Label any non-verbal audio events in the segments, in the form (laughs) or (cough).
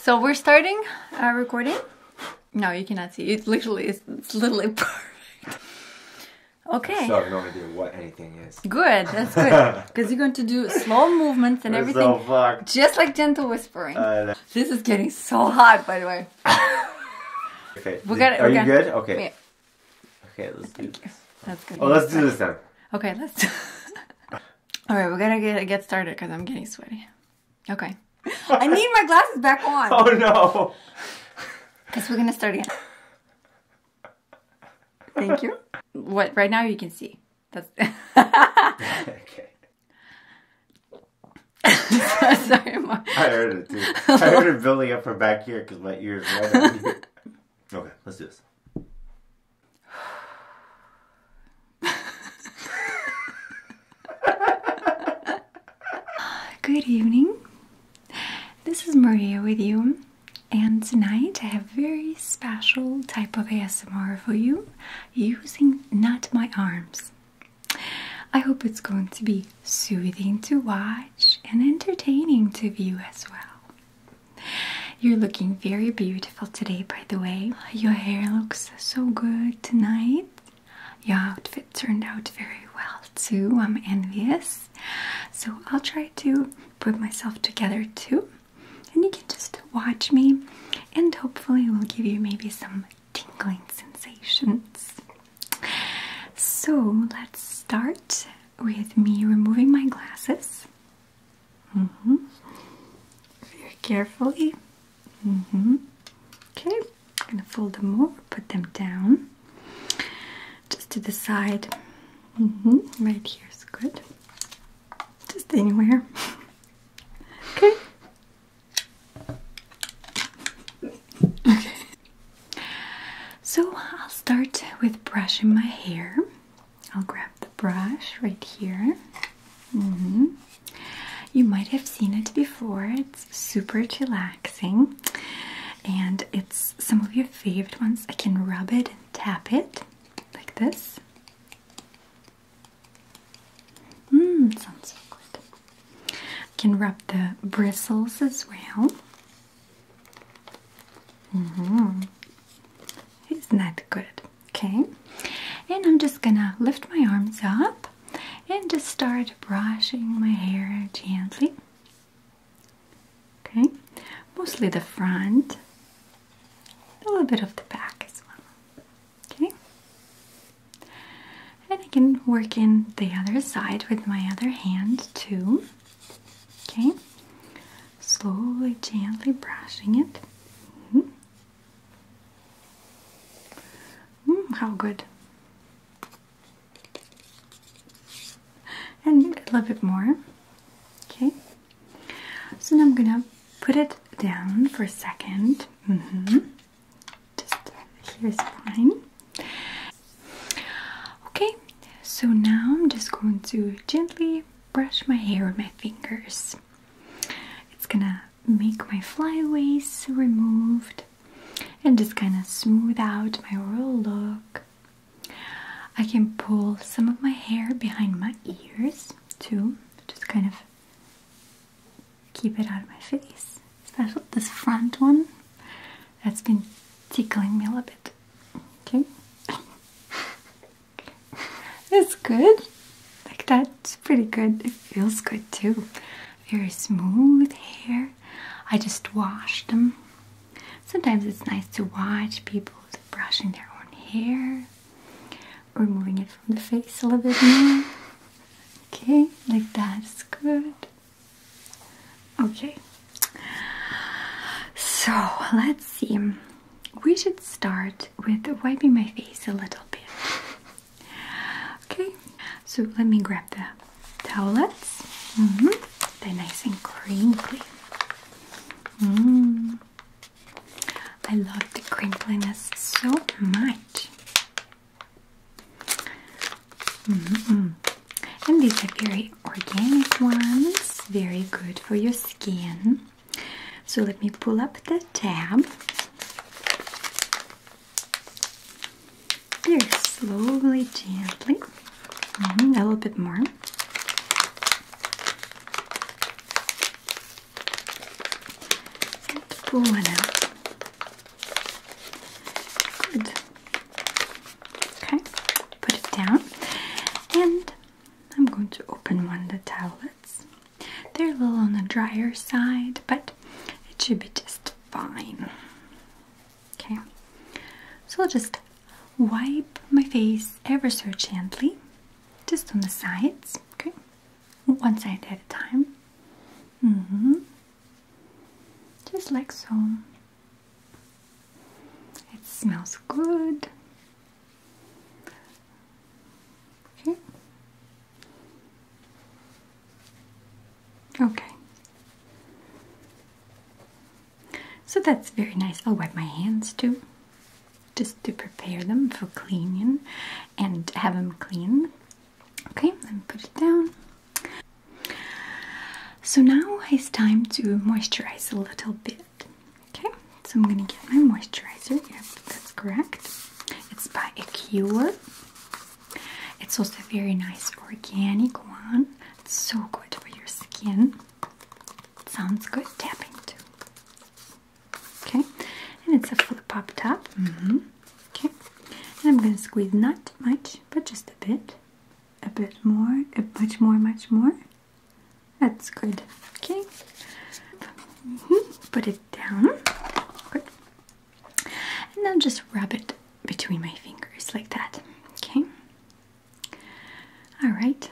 So we're starting uh, recording. No, you cannot see. It literally it's literally (laughs) perfect. Okay. So no idea what anything is. Good, that's good. Because (laughs) you're going to do slow movements and we're everything. So fucked. Just like gentle whispering. this is getting so hot, by the way. (laughs) okay. We Are gotta, you good? Okay. Okay, let's do this. That's good. Oh, let's do this then. Okay, let's. All right, we're gonna get get started because I'm getting sweaty. Okay. I need my glasses back on. (laughs) Oh no. Because we're gonna start again. Thank you. What right now you can see. That's (laughs) okay. (laughs) Sorry, I heard it too. I heard it building up from back here because my ears right Okay, let's do this. (sighs) Good evening. This is Maria with you, and tonight I have a very special type of ASMR for you using not my arms. I hope it's going to be soothing to watch and entertaining to view as well. You're looking very beautiful beautiful today, by the way. Your hair looks so good tonight. Your outfit turned out very well, too. I'm envious. So, I'll try to put myself together, too. And you can just watch me, and hopefully, we'll give you maybe some tingling sensations. So, let's start with me removing my glasses. Mm-hmm. Very carefully. Mm-hmm. Okay, I'm gonna fold them over, put them down just to the side. Mm-hmm. Right here is good. Just anywhere. (laughs) okay. Okay. So I'll start with brushing my hair. I'll grab the brush right here. Mm-hmm. You might have seen it before. It's super relaxing, and it's some of your favorite ones. I can rub it and tap it like this. Mmm, sounds so good. I can rub the bristles as well. -hmm. Isn't that good? Okay, and I'm just gonna lift my arms up and just start brushing my hair gently. Okay, mostly the front, a little bit of the back as well. Okay, and I can work in the other side with my other hand too. Okay, slowly, gently brushing it. Mm-hmm. Mm, how good. And a little bit more. Okay. So now I'm gonna put it down for a second. Mm-hmm. Just here's fine. Okay, so now I'm just going to gently brush my hair with my fingers. It's gonna make my flyaways removed and just kind of smooth out my overall look. I can pull some of my hair behind my ears too, just kind of keep it out of my face. Especially this front one that's been tickling me a little bit. Okay. (laughs) (laughs) It's good. Like that's pretty good. It feels good too. Very smooth hair. I just wash them. Sometimes it's nice to watch people brushing their own hair, removing it from the face a little bit more. Okay, like that's good. Okay, so let's see. We should start with wiping my face a little bit. Okay, so let me grab the towelettes. Mm -hmm. They're nice and crinkly. Mm. I love the crinkliness so much. Mm-hmm. And these are very organic ones, very good for your skin. So let me pull up the tab. Very slowly, gently. Mm-hmm, a little bit more. pull it out. Okay, put it down. And I'm going to open one of the towelettes. They're a little on the drier side, but it should be just fine. Okay, so I'll just wipe my face ever so gently, just on the sides, okay? One side at a time. Mm hmm Just like so. It smells good. Okay. Okay. So that's very nice. I'll wipe my hands too. Just to prepare them for cleaning and have them clean. Okay, let me put it down. So now it's time to moisturize a little bit. Okay, so I'm gonna get my moisturizer. Yep, that's correct. It's by Acure. It's also a very nice organic one. It's so good for your skin. sounds good tapping too. Okay, and it's a flip-up top. Mm-hmm. Okay, and I'm gonna squeeze not much, but just a bit, a bit more, a much more, much more. That's good. Okay. Mm-hmm. Put it down. And then just rub it between my fingers like that. Okay. All right.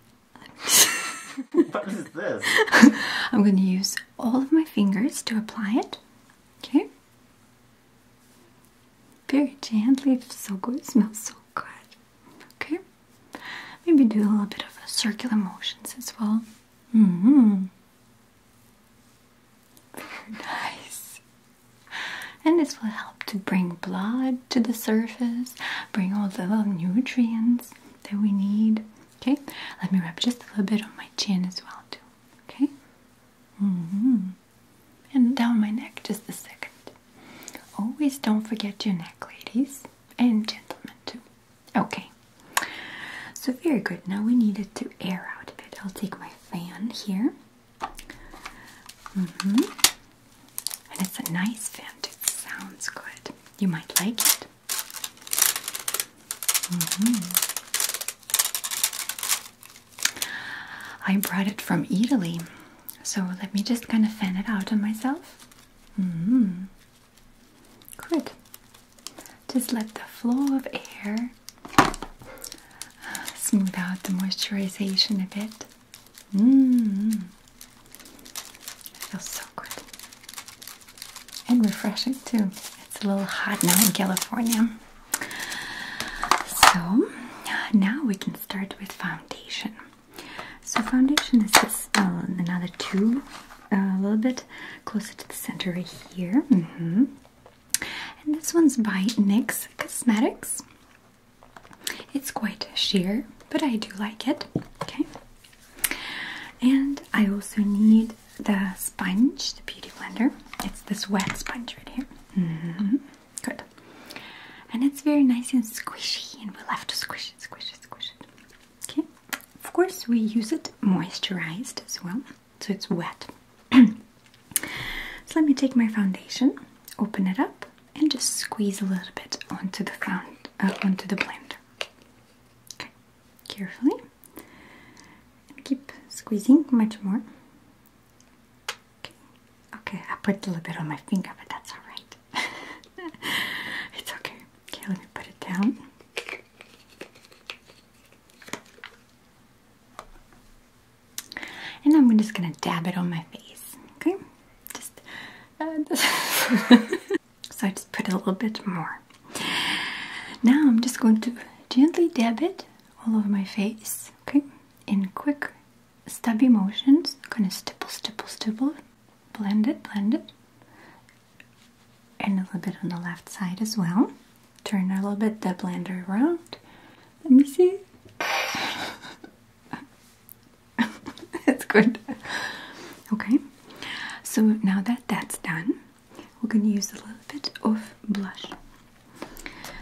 (laughs) what is this? (laughs) I'm going to use all of my fingers to apply it. Okay. Very gently. so good. It smells so good. Okay. Maybe do a little bit of circular motions as well. Mm-hmm. Very nice. And this will help to bring blood to the surface, bring all the little nutrients that we need. Okay, let me rub just a little bit on my chin as well, too. Okay? Mm hmm. And down my neck just a second. Always don't forget your neck, ladies and gentlemen too. Okay, so very good. Now we need it to air out a bit. I'll take my fan here. Mm -hmm. And it's a nice fan, it sounds good. You might like it. Mm -hmm. I brought it from Italy, so let me just kind of fan it out on myself. Mm hmm. Good. Just let the flow of air uh, smooth out the moisturization a bit. hmm. feels so good. And refreshing too. It's a little hot now in California. So now we can start with foundation. So foundation is this uh, another tube, uh, a little bit closer to the center right here. Mm-hmm. And this one's by NYX Cosmetics. It's quite sheer, but I do like it. Okay. And I also need the sponge, the beauty blender. It's this wet sponge right here. Mm -hmm. Good. And it's very nice and squishy, and we love to squish it, squish squish it. Okay. Of course, we use it moisturized as well, so it's wet. (clears throat) so let me take my foundation, open it up, and just squeeze a little bit onto the found uh, onto the blender. Okay. Carefully. keep squeezing much more. Okay. okay, I put a little bit on my finger, but that's all right. (laughs) it's okay. Okay, let me put it down. And I'm just gonna dab it on my face. Okay, just. Uh, (laughs) so I just put a little bit more. Now I'm just going to gently dab it all over my face. Okay, in quick, stubby motions, kind of stipple, stipple, stipple blend it, blend it. And a little bit on the left side as well. Turn a little bit the blender around. Let me see. that's (laughs) good. Okay, so now that that's done, we're going to use a little bit of blush.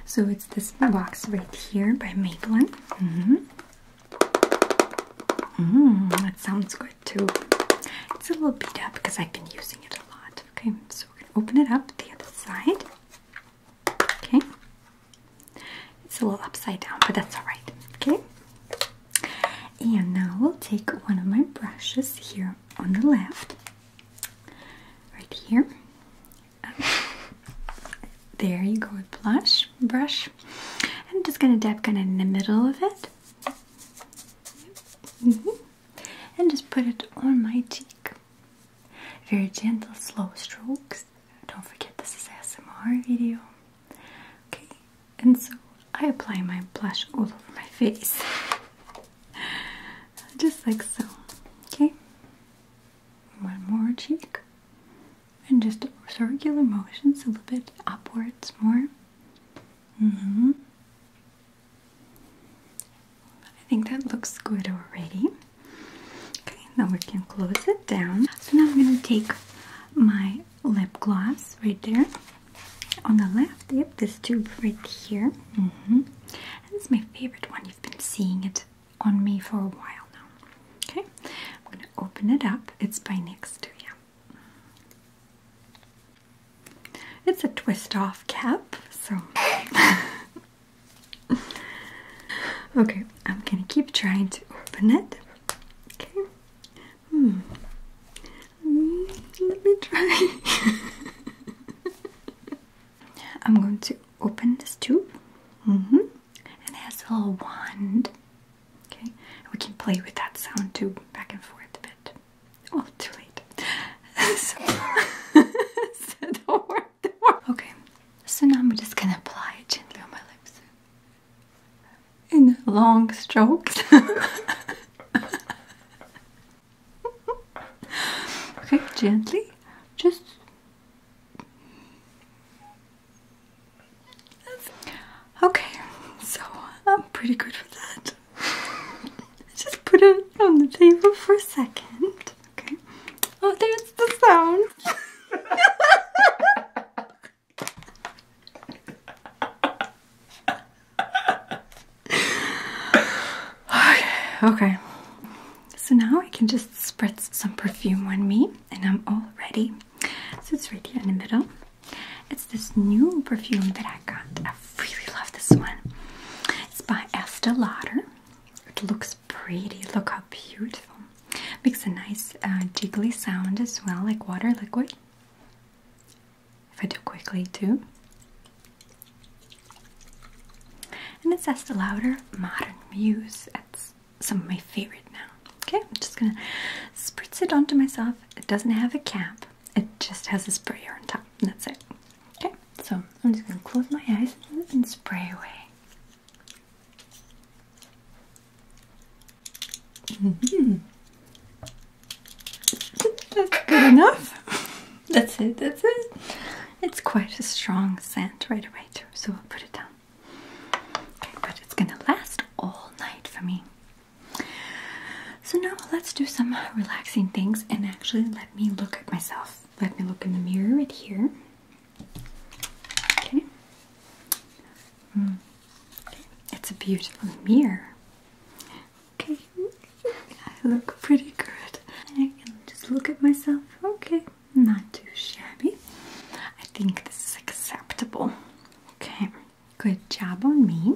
So it's this box right here by Maybelline. Mm-hmm. Mmm, that sounds good too. It's a little beat up because I've been using it a lot. Okay, so we're gonna open it up the other side. Okay. It's a little upside down, but that's alright. Okay. And now we'll take one of my brushes here on the left. Right here. there you go with blush brush. I'm just going to dab kind of in the middle of it. Mm-hmm. And just put it on my cheek. Very gentle, slow strokes. Don't forget this is ASMR video. Okay, and so I apply my blush all over my face. (laughs) Just like so. Okay. One more cheek and just circular motions a little bit upwards more. Mm-hmm. I think that looks good already. Okay, now we can close it down. So now I'm gonna take my lip gloss right there on the left. Yep, this tube right here. Mm this is my favorite one. You've been seeing it on me for a while now. Okay, open it up. It's by next to you. It's a twist off cap, so. (laughs) okay, I'm gonna keep trying to open it. Okay. Hmm. hmm let me try. (laughs) I'm going to open this tube. -hmm. And it has a little wand. Okay, we can play with that sound too, back and forth a bit. Oh, too late. (laughs) (laughs) Okay, so now I'm just gonna apply it gently on my lips in long strokes. (laughs) okay, gently, just Okay, so I'm pretty good with that. (laughs) Just put it on the table for a second. Okay. Oh, there's the sound. (laughs) okay, okay. So now I can just spritz some perfume on me and I'm all ready. So it's right here in the middle. It's this new perfume that I got. I really love this one. It's by Estee Lauder. It looks pretty. Look how beautiful. Makes a nice uh, jiggly sound as well, like water liquid. If I do quickly too. And it's Estee Lauder Modern Muse. It's some of my favorite now. Okay, I'm just gonna spritz it onto myself. It doesn't have a cap, it just has a sprayer on top, and that's it. Okay, so I'm just gonna close my eyes and spray away. Mm-hmm. That's good enough. (laughs) That's it, that's it. It's quite a strong scent right away, so I'll put it down. Okay, but it's gonna last all night for me. So now let's do some relaxing things and actually let me look at myself. Let me look in the mirror right here. Okay. Mm. okay. It's a beautiful mirror. Okay. I look pretty good. I can just look at myself. Okay. Not too shabby. I think this is acceptable. Okay, good job on me.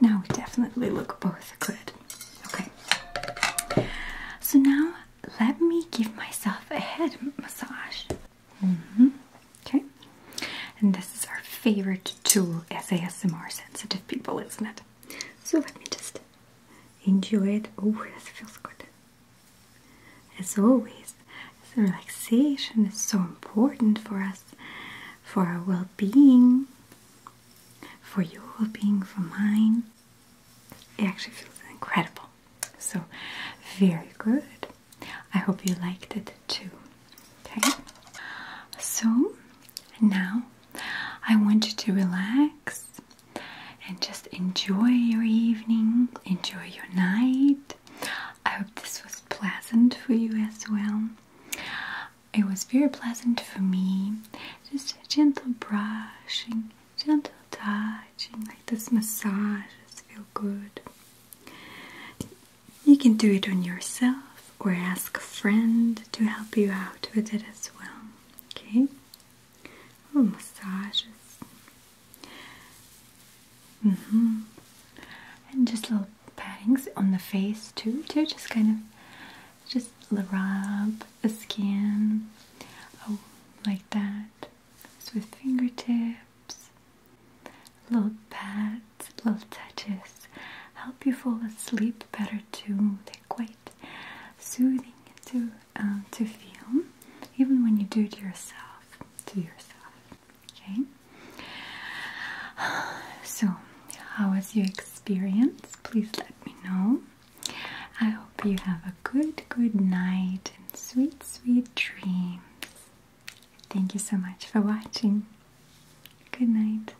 Now we definitely look both good. Okay, so now let me give myself a head massage. Mm-hmm. Okay, and this is our favorite tool as ASMR sensitive people, isn't it? So let me just enjoy it. Oh, this feels good. As always, the relaxation is so important for us, for our well being, for your well being, for mine. It actually feels incredible. So, very good. I hope you liked it too. Okay, so now I want you to relax and just enjoy your evening, enjoy your night, I hope this was pleasant for you as well. It was very pleasant for me. Just a gentle brushing, gentle touching, like this massage, massages feel good. You can do it on yourself or ask a friend to help you out with it as well. Okay? oh massages. Mm hmm And just little pattings on the face too, too. Just kind of, just rub the skin, oh, like that. with fingertips, little pat, little touches, help you fall asleep better too. They're quite soothing too. Uh, to feel, even when you do it yourself, to yourself. Okay. (sighs) So, how was your experience? Please let me know. I hope you have a good, good night and sweet, sweet dreams. Thank you so much for watching. Good night.